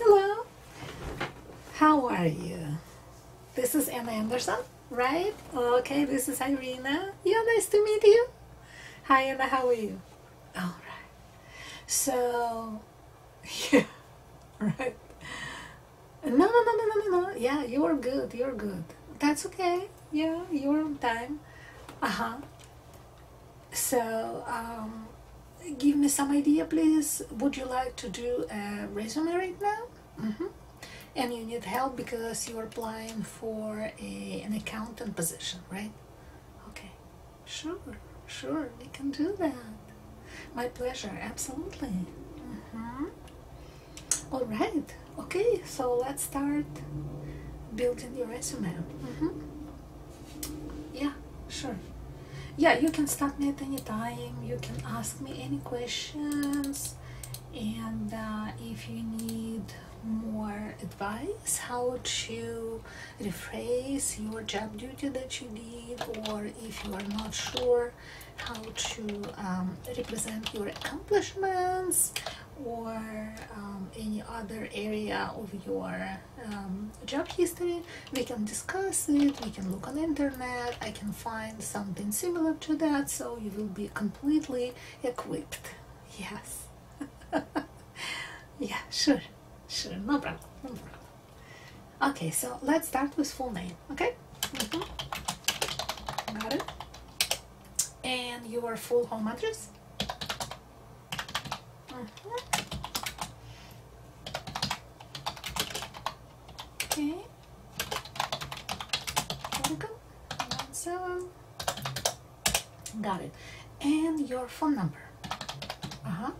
Hello, how are you? This is Anna Anderson, right? Okay, this is Irina. Yeah, nice to meet you. Hi Anna, how are you? All right. So, yeah, right. No, no, no, no, no, no. Yeah, you're good. You're good. That's okay. Yeah, you're on time. Uh huh. So um, give me some idea, please. Would you like to do a resume right now? Mm-hmm. And you need help because you're applying for a, an accountant position, right? Okay, sure, sure, we can do that. My pleasure, absolutely. Mm-hmm. All right, okay, so let's start building your resume. Mm-hmm yeah sure yeah you can stop me at any time you can ask me any questions and uh, if you need more advice how to rephrase your job duty that you did or if you are not sure how to um, represent your accomplishments or um, any other area of your um, job history we can discuss it we can look on internet i can find something similar to that so you will be completely equipped yes yeah sure sure no problem no problem okay so let's start with full name okay mm-hmm. got it and your full home address uh -huh. Okay. There we go. so got it. And your phone number. Uh-huh.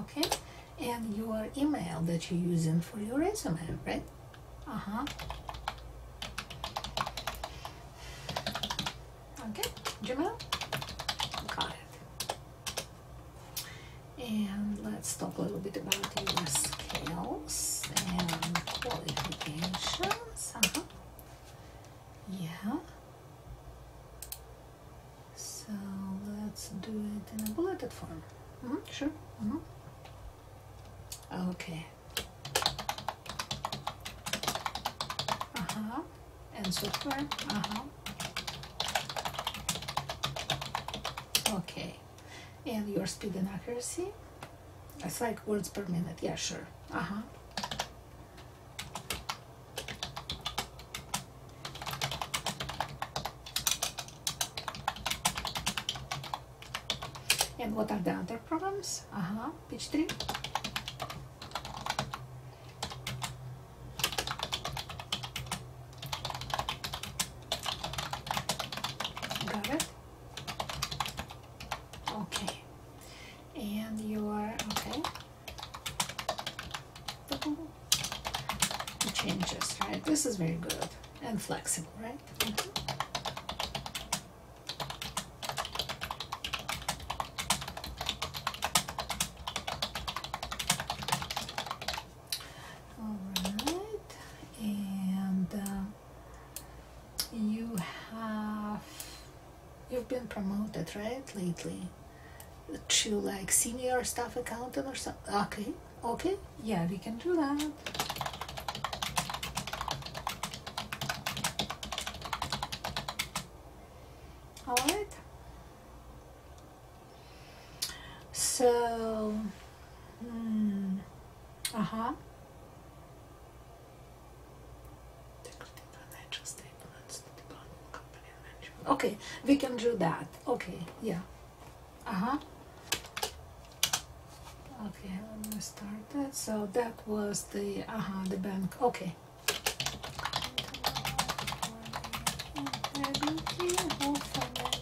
Okay. And your email that you're using for your resume, right? Uh-huh. Okay, Jamel, got it. And let's talk a little bit about the scales and qualifications. Uh-huh. Yeah. So let's do it in a bulleted form. Mm-hmm. Sure. Mm-hmm. Okay. Aha. Uh-huh. And software. Aha. Uh-huh. Okay. And your speed and accuracy. That's like words per minute. Yeah, sure. uh And what are the other problems? Uh-huh. Page 3. Got it? Okay. And you are okay. It changes, right? This is very good and flexible, right? All right, and uh, you have you've been promoted right lately to like senior staff accountant or something. Okay, okay, yeah, we can do that all right so hmm, uh-huh okay we can do that okay yeah uh-huh okay let me start that so that was the uh-huh the bank okay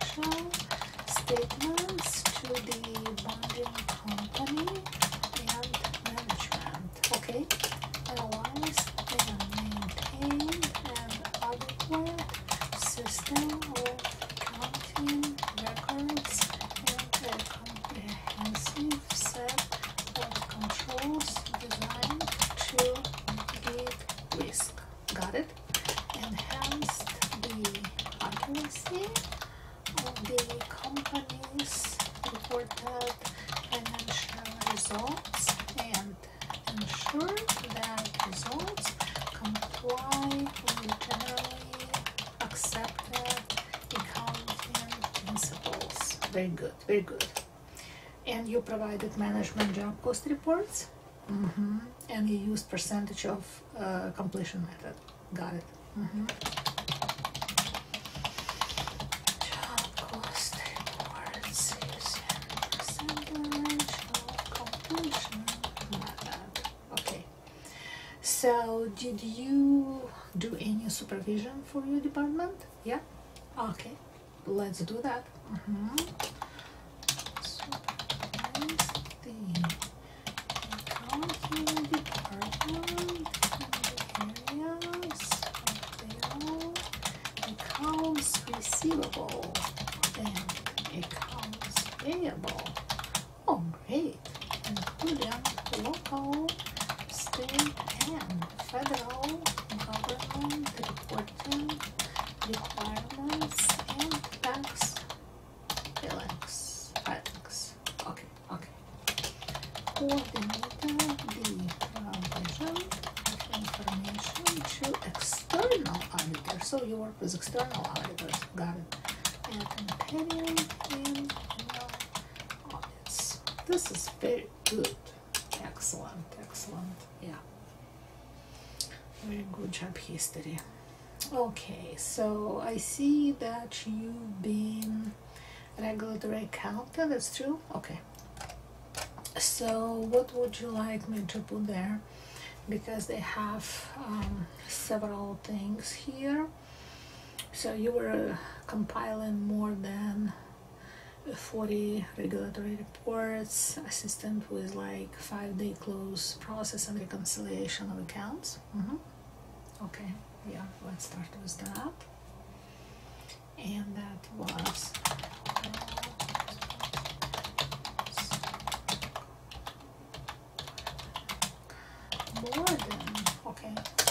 financial statements to the bonding company and management. Okay, otherwise they are maintained an system of accounting records and a set of controls designed to mitigate risk. Got it? Enhanced the accuracy of the company's reported financial results and ensure that results comply with generally accepted accounting principles. Very good, very good. And you provided management job cost reports mm-hmm. and you used percentage of uh, completion method. Got it. Mm-hmm. Job cost reports using percentage of completion method. Okay. So did you do any supervision for your department? Yeah? Okay, let's do that. accounting department areas accounts receivable and accounts payable. Oh, great including local, state, and federal government reporting requirements and tax filings. filings. Okay, okay. Coordinating the provision of information to external auditors. So you work with external auditors, got it. This is very good. Excellent, excellent. Yeah. Very good job, history. Okay, so I see that you've been regulatory accountant, that's true? Okay. So, what would you like me to put there? Because they have um, several things here. So you were uh, compiling more than 40 regulatory reports, assistant with like five-day close process and reconciliation of accounts. Mm-hmm. Okay, yeah, let's start with that. And that was more than okay.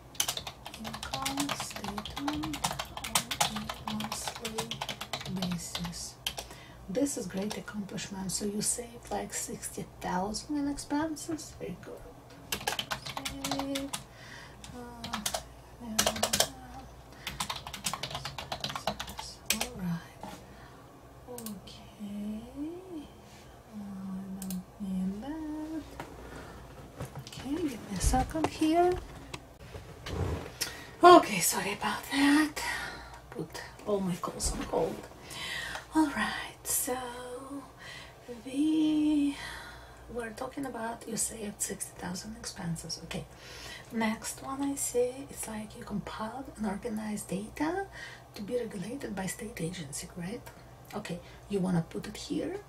income statement on monthly basis. This is great accomplishment. So you saved like sixty thousand in expenses. Very good. All right. Okay. Uh, and that. Okay, get this up on here. Okay, sorry about that. Put all my calls on hold. Alright, so we were talking about you saved 60,000 expenses. Okay, next one I see it's like you compiled and organized data to be regulated by state agency, right? Okay, you want to put it here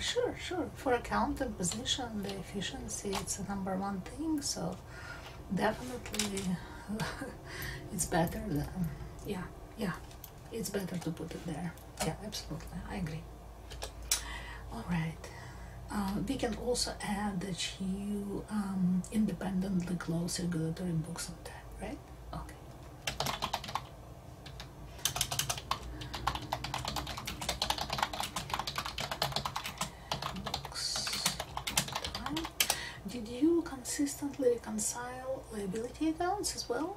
Sure, sure. For accounting position, the efficiency it's the number one thing. So definitely, it's better than yeah, yeah. It's better to put it there. Yeah, absolutely, I agree. All right. Uh, we can also add that you um, independently close regulatory books on time, right? Okay. Books on time. Did you consistently reconcile liability accounts as well?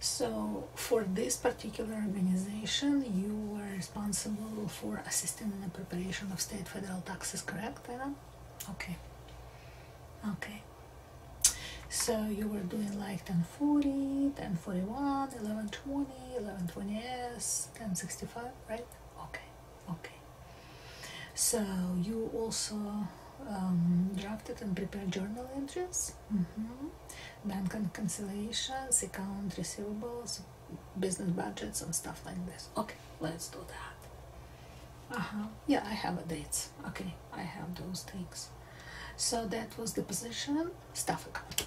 So for this particular organization, you were responsible for assisting in the preparation of state federal taxes, correct, Anna? Okay. Okay. So you were doing like 1040, 1041, 1120, 1120S, 1065, right? Okay, okay. So you also um, drafted and prepared journal entries. Mm -hmm bank reconciliations, account receivables, business budgets, and stuff like this. Okay, let's do that. Uh huh. Yeah, I have a dates. Okay, I have those things. So that was the position Stuff. Okay.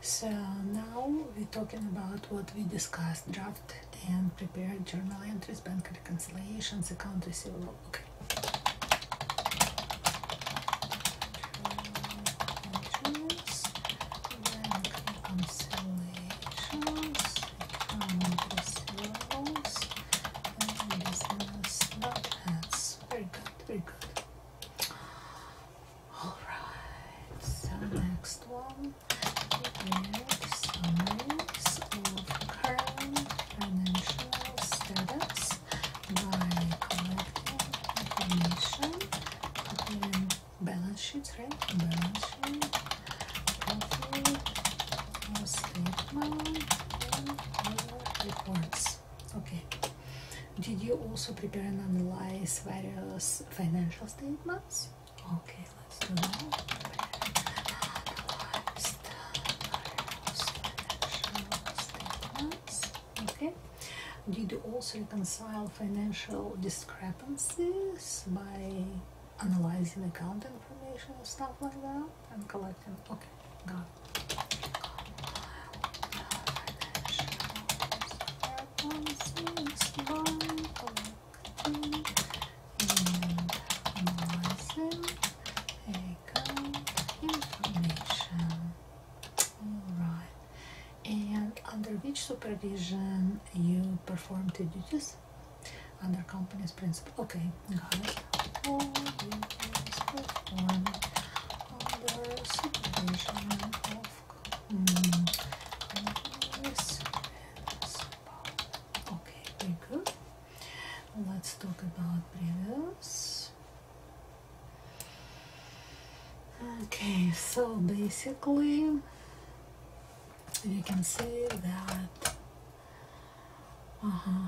So now we're talking about what we discussed, draft and prepared journal entries, bank reconciliations, accounts receivable. Okay. Features. Then click on selections. the Very good, very good. Alright, next one is summaries of current financial status by information, balance sheet, right? Balance sheet, profit, statement, reports. Okay. Did you also prepare and analyze various financial statements? Okay, various financial statements okay did you also reconcile financial discrepancies by analyzing account information and stuff like that and collecting okay got information all right and under which supervision you perform the duties under company's principle okay got it under supervision of companies okay very good let's talk about previous okay so basically you can see that uh-huh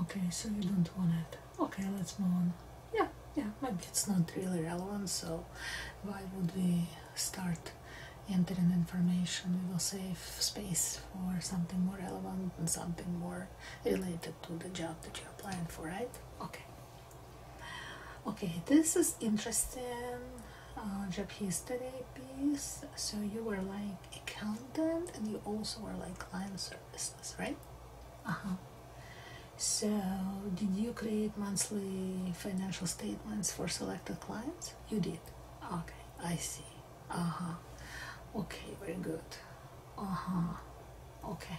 okay so you don't want it okay let's move on yeah yeah maybe it's not really relevant so why would we start entering information we will save space for something more relevant and something more related to the job that you're applying for right okay Okay, this is interesting uh, Japanese job piece. So you were like accountant and you also were like client services, right? Uh-huh. So did you create monthly financial statements for selected clients? You did. Okay, I see. Uh-huh. Okay, very good. Uh-huh. Okay.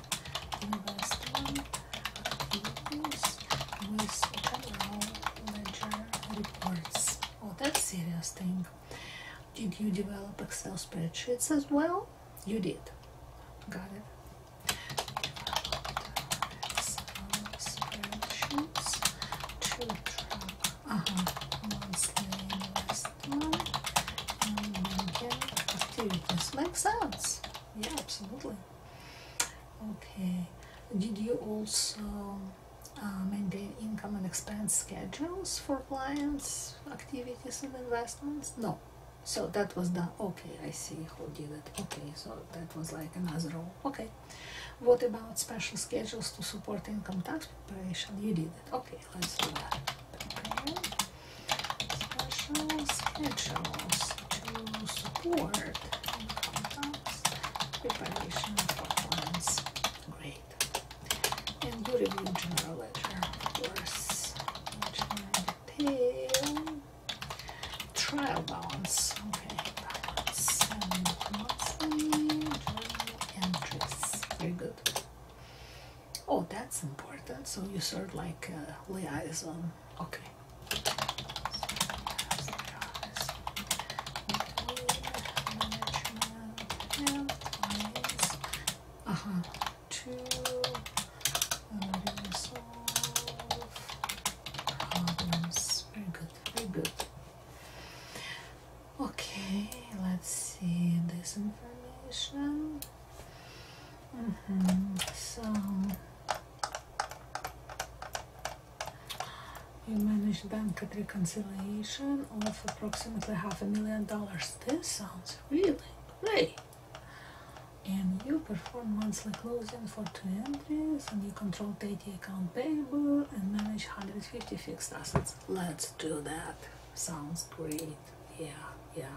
invest in people's ledger reports. Oh, that's serious thing. Did you develop Excel spreadsheets as well? You did. Got it. Spreadsheets to Makes sense. Yeah, absolutely. Okay, did you also maintain um, income and expense schedules for clients, activities, and investments? No. So that was done. Okay, I see who did it. Okay, so that was like another role. Okay. What about special schedules to support income tax preparation? You did it. Okay, let's do that special schedules to support preparation for Great. And review general ledger, of course, detail. Trial balance. Okay, entries. Very good. Oh, that's important. So you sort of like uh, liaison. Okay. Uh-huh. Uh huh. 2 to solve problems. Very good. Very good. Okay, let's see this information. Mm -hmm. So you manage bank reconciliation of approximately half a million dollars. This sounds really great. And you perform monthly closing for two entries, and you control daily account payable and manage 150 fixed assets. Let's do that. Sounds great. Yeah, yeah.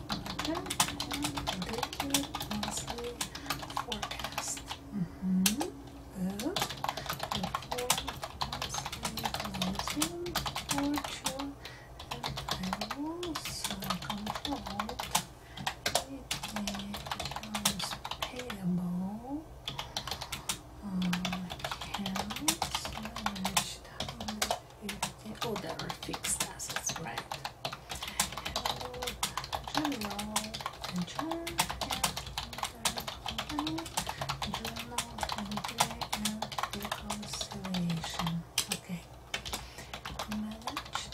Good monthly forecast. Mm -hmm. Good. Fortune and also controlled it payable um, accounts Oh, that are fixed assets, right? General, and general, and reconciliation. Okay. Managed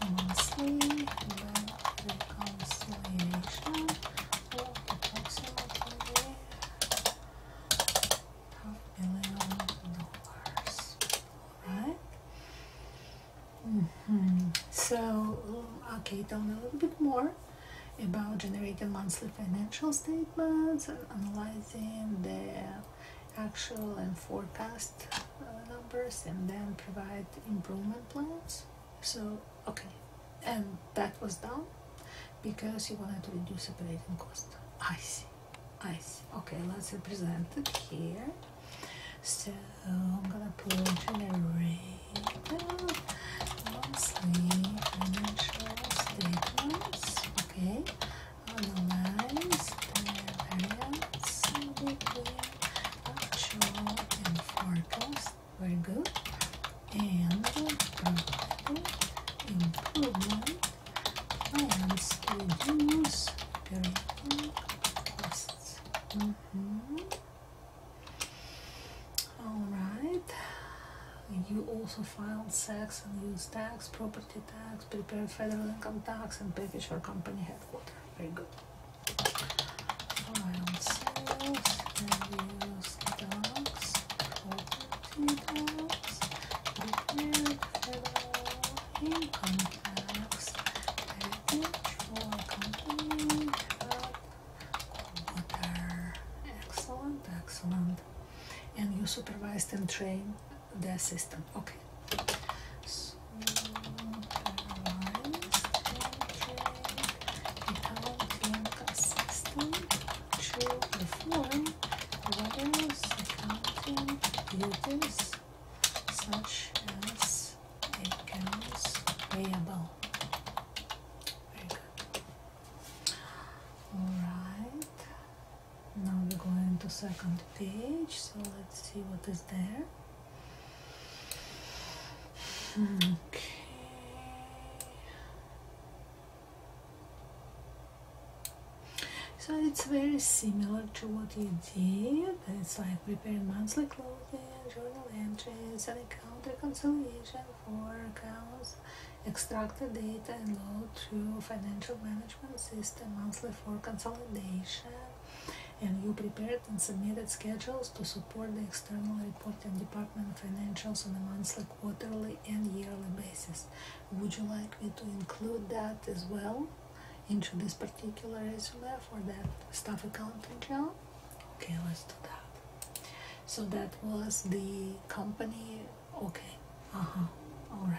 monthly reconciliation of approximately half million dollars. Alright? Mm-hmm. So, okay, tell a little bit more about generating monthly financial statements and analyzing the actual and forecast uh, numbers and then provide improvement plans so okay and that was done because you wanted to reduce operating cost i see I see. Okay, let's represent it here. So I'm gonna put generator, monthly financial statements. Okay, analyze the variance between actual and forecast. Very good. And improvement I oh, am still genius parenting costs. -hmm. Alright. You also filed sex and use tax, property tax, prepare federal income tax, and package for company headquarters. Very good. Filed sales and use tax, property tax, prepared federal employee contracts with mutual company Excellent, excellent. And you supervised and trained the assistant. Okay. Supervised and trained the accounting assistant to perform time, wilderness, mountain, wilderness, such as becomes payable. Very good. Alright, now we're going to second page, so let's see what is there. Okay. So it's very similar to what you did. It's like preparing monthly clothing, journal entries, and account reconciliation for accounts, extracted data and load to financial management system, monthly for consolidation. And you prepared and submitted schedules to support the external reporting department financials on a monthly, quarterly, and yearly basis. Would you like me to include that as well into this particular SLF for that staff accounting job? Okay, let's do that. So that was the company. Okay. Uh huh. All right.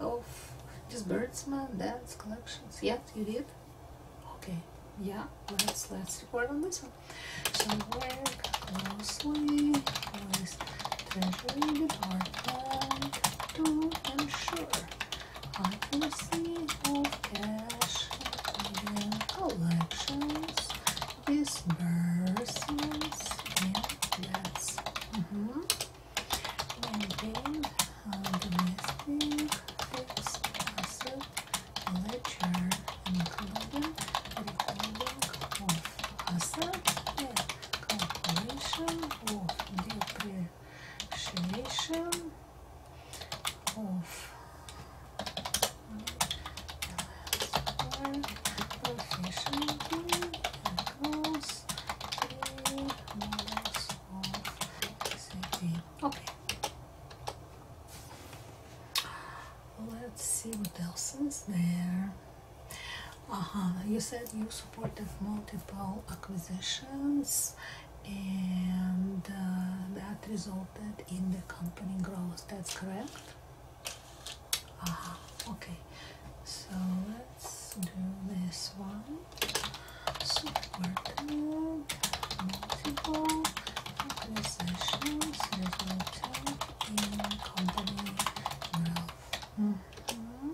of birds, man. That's collections. Yeah, you did? Okay, yeah, let's let's record on this one. So work closely with Treasury Department to ensure accuracy of cash in collections, disbursements, and debts. Mm -hmm. And then uh, domestic fixed asset ledger including recording of assets and calculation of depreciation of uh, professional accounts Okay. Let's see what else is there. Uh-huh. You said you supported multiple acquisitions and uh, that resulted in the company growth. That's correct? Uh-huh. Okay. So let's do this one. multiple acquisitions, resulted in company mm-hmm.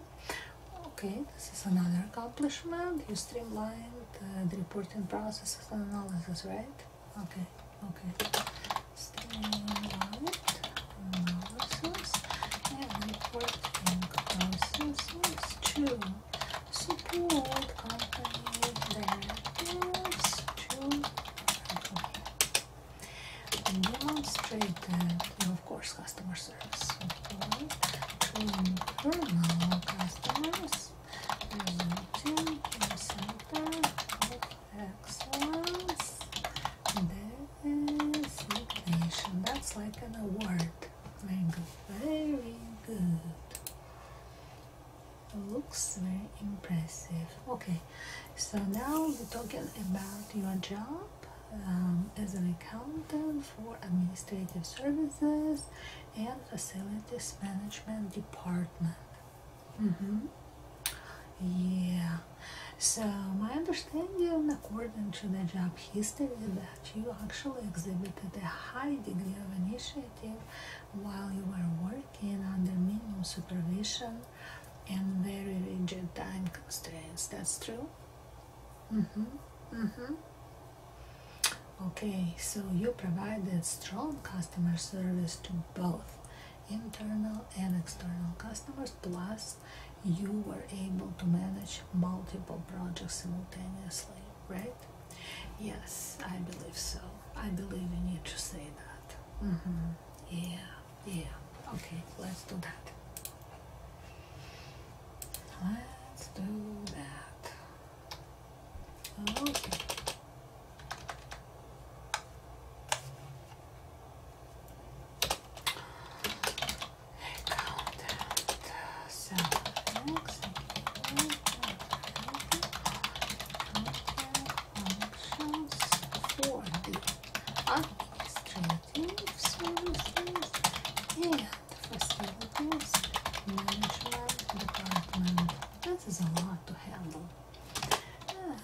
Okay, this is another accomplishment. You streamlined the reporting processes and analysis, right? Okay, okay process every working processes to support company directives to demonstrate of course customer service to internal customers resulting in center Resignation. That's like an award. Mango. Very good. Looks very impressive. Okay, so now we're talking about your job um, as an accountant for administrative services and facilities management department. Mm -hmm. Yeah, so my understanding, according to the job history, that you actually exhibited a high degree of initiative while you were working under minimal supervision and very rigid time constraints. That's true? Mm-hmm. Mm-hmm. Okay, so you provided strong customer service to both internal and external customers, plus you were able to manage multiple projects simultaneously, right? Yes, I believe so. I believe you need to say that. Mm-hmm. Yeah, yeah. Okay, let's do that. Let's do that. Okay functions for the administrative services and facilities management department. This is a lot to handle.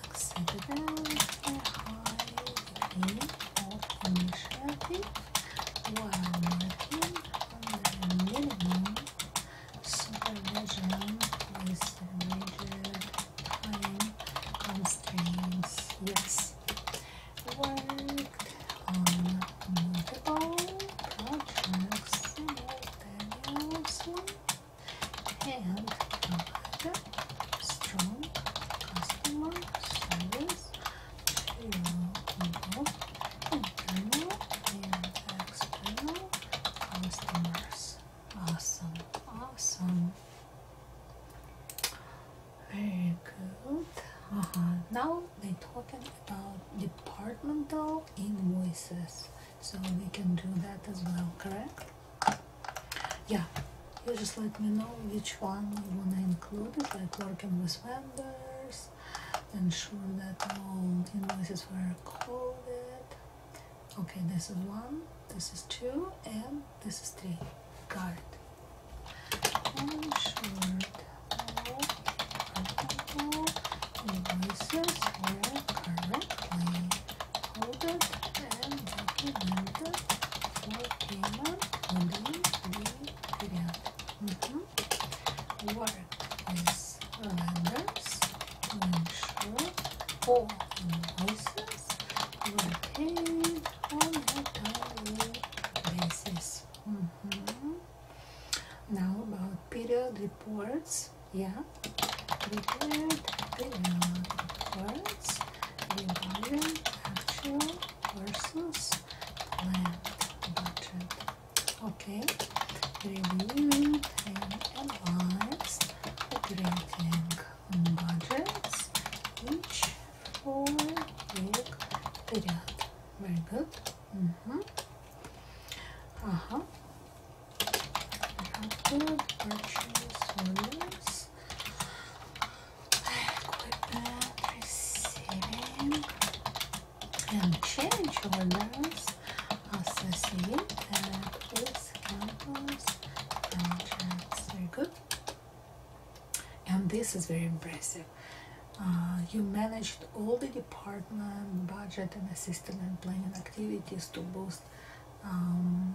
Accident, a high way of initiative while working on the minimum supervision with rigid time constraints. Yes, worked on multiple projects simultaneously and provided strong customer service. Yes. customers. Awesome, awesome. Very good. Uh Now they're talking about departmental invoices, so we can do that as well, correct? yeah you just let me know which one you want to include it like working with vendors ensure that all invoices were coded okay this is one this is two and this is three got it ensured all invoices were correctly coded and documented working on mm -hmm. Work with lenders to ensure all voices were paid on a timely basis. Now about period reports. Yeah, prepared period reports. plants, the modern actual versus plant budget. Okay, reviewing and analyze the grading budgets each for year period. Very good. Mm -hmm. Uh huh. How good purchase orders? Equipment, and change orders, associate, uh, please, campus, very good. And this is very impressive. Uh, you managed all the department budget and assistant and planning activities to boost um,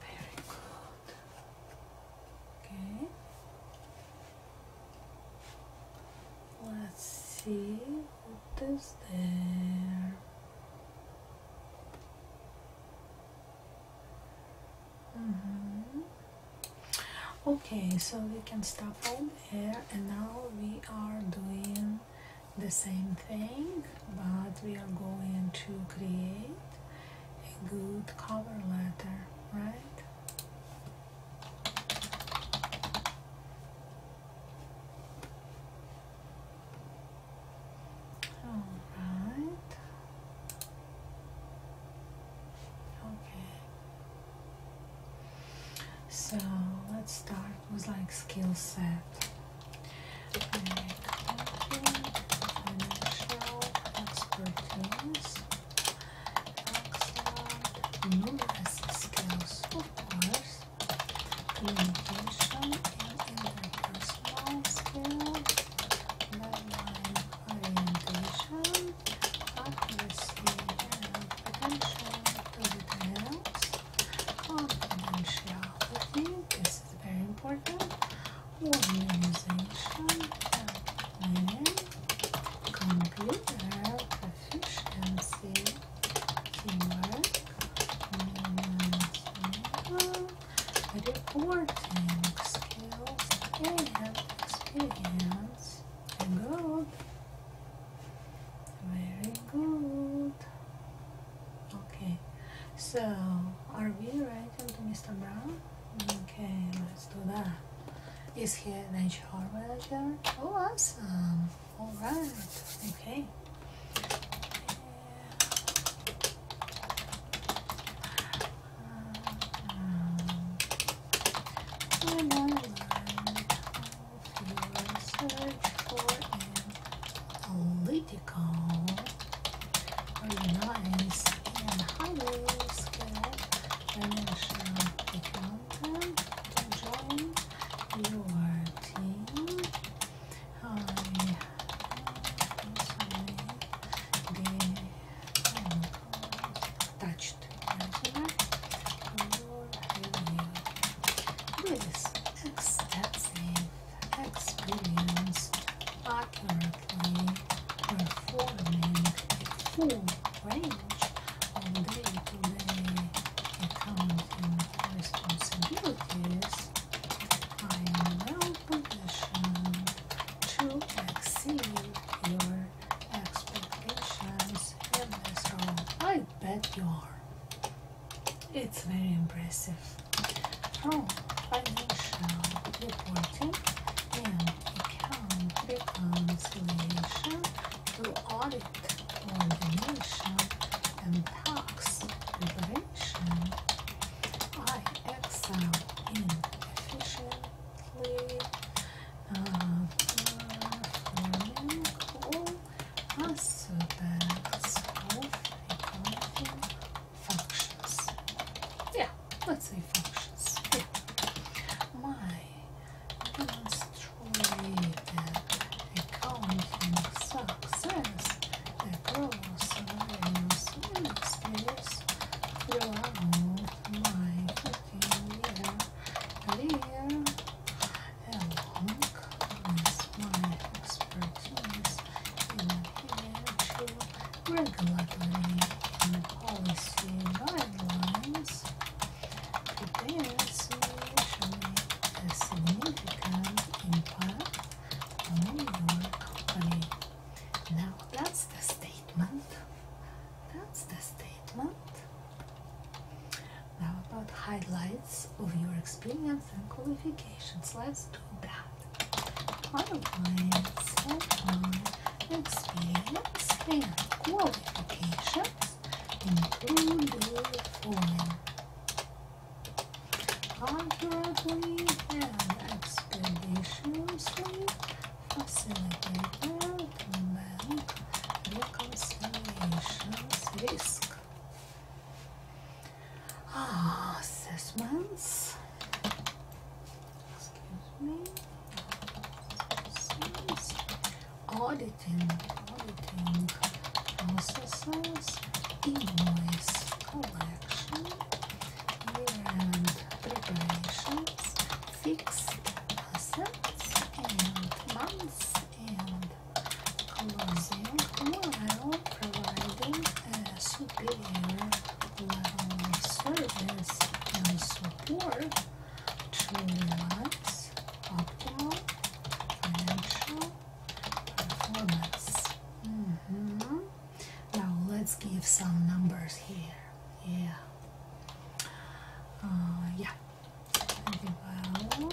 Very good. Okay. Let's see what is there. Mm-hmm. Okay, so we can stop all there, and now we are doing the same thing but we are going to create a good cover letter right all right okay so let's start with like skill set financial expertise, excellent numerous skills, of course, communication interpersonal skills, deadline orientation, accuracy and attention to confidentiality. This is very important. Organization, planning, computer, proficiency, teamwork, management, reporting skills, and experience. Good. Very good. Okay, so are we writing to Mr. Brown? Okay, let's do that. Is he an HR manager? Oh, awesome! All right, okay. Um, political, organized, and highly skilled financial accountant to join your team. I am touched your review with extensive experienced accurately performing a full range of day-to-day -day accounting responsibilities, I am well positioned to exceed your expectations in this role. I bet you are. It's very impressive. financial oh, reporting and account reconciliation to audit coordination and tax I excel in efficiently uh, all as this whole functions. Yeah, let's say functions. My demonstrated accounting success across various ministries throughout my career along with my expertise in financial regulatory and policy guidelines prepares me a significant impact on your company. Now that's the statement. That's the statement. Now about highlights of your experience and qualifications. Let's do that. Highlights of experience qualifications include the following. Arguably and expeditiously facilitated bank risk. Ah, assessments. Excuse Assessments. Auditing, auditing, invoice, collection, and preparations, fixed assets, and months and closing while providing a superior level of service and support to Lillard's optimal financial performance. Now let's give some numbers here. Yeah. Uh, yeah. Well,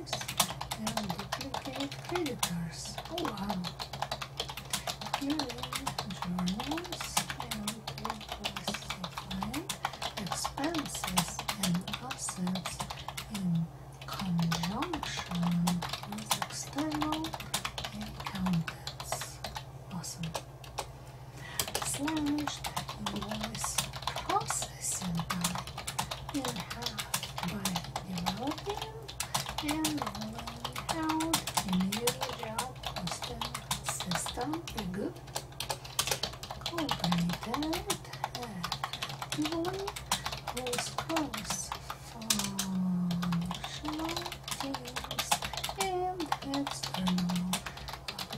and duplicate creditors. Oh wow! Here and reclassifying expenses and assets in conjunction with external accountants. Awesome. Slash invoice process. Listen, I you have my and rolling out a new job posting system group cooperated actively with functional teams and external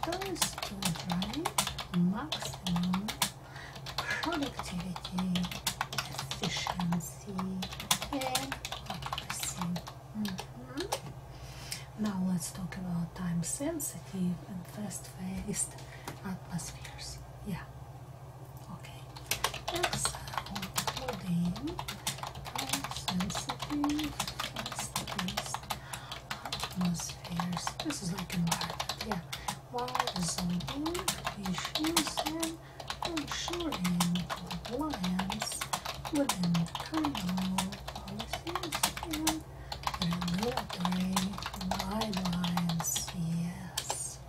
factors to drive maximum productivity, efficiency, okay. Mm-hmm. Now let's talk about time sensitive and fast paced atmospheres. Yeah. Okay. Uh, time sensitive, fast paced atmospheres. This is like environment. Yeah while resolving issues and ensuring compliance within criminal policies and regulatory guidelines. Yes.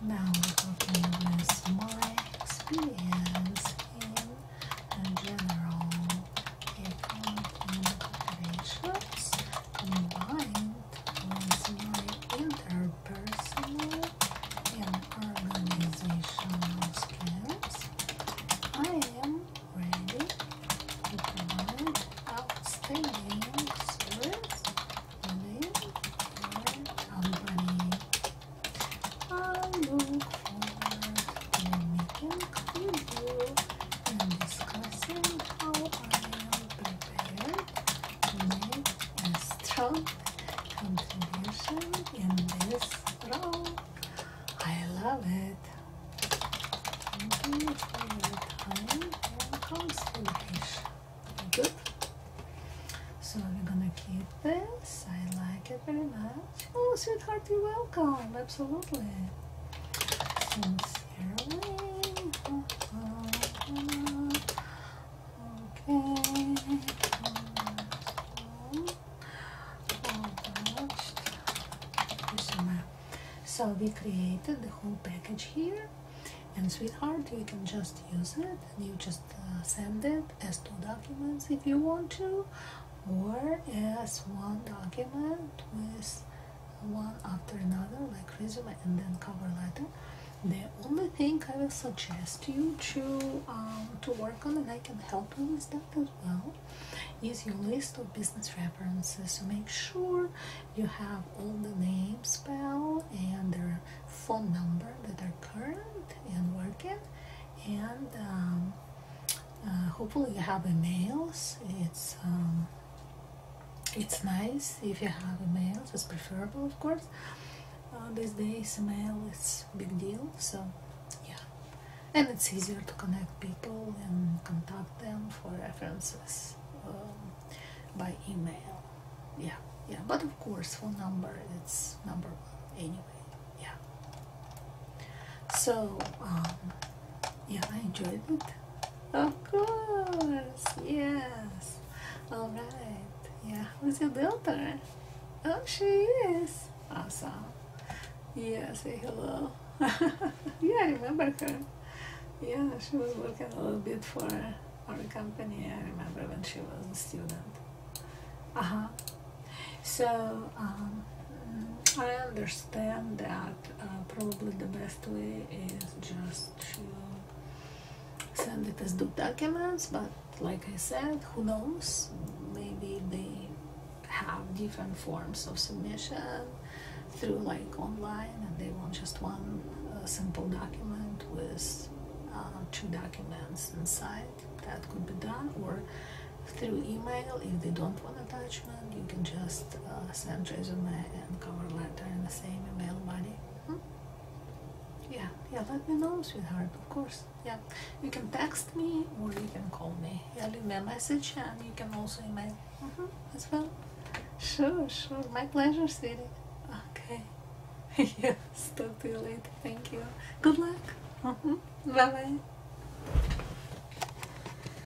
Now we're talking with my experience in general accounting operations combined with your interpersonal and organizational skills, I am ready to provide outstanding service within your company and discussing how I am prepared to make a strong contribution in this role. I love it. Thank you for your time and consultation. Good. So we're gonna keep this. I like it very much. Oh, sweetheart, you're welcome. Absolutely. So we created the whole package here and sweetheart you can just use it and you just uh, send it as two documents if you want to or as one document with one after another like resume and then cover letter the only thing i will suggest you to um, to work on and i can help you with that as well is your list of business references so make sure you have all the names spell and their phone number that are current and working and um, uh, hopefully you have emails it's um, it's nice if you have a mail. it's preferable, of course. Uh, these days, male is big deal, so yeah, and it's easier to connect people and contact them for references um, by email. Yeah, yeah, but of course, phone number it's number one anyway. Yeah. So. Um, yeah I enjoyed it of course yes all right yeah who's your daughter oh she is awesome yeah say hello yeah I remember her yeah she was working a little bit for our company I remember when she was a student uh-huh so um, I understand that uh, probably the best way is just to send it as doc documents but like I said who knows maybe they have different forms of submission through like online and they want just one uh, simple document with uh, two documents inside that could be done or through email if they don't want attachment you can just just uh, send resume and cover letter in the same email body. Hmm? Yeah, yeah, let me know, sweetheart, of course. Yeah, you can text me or you can call me. Yeah, leave me a message and you can also email mm-hmm. as well. Sure, sure, my pleasure, sweetie. Okay, yes, talk to you later. Thank you. Good luck. Mm-hmm. Bye bye.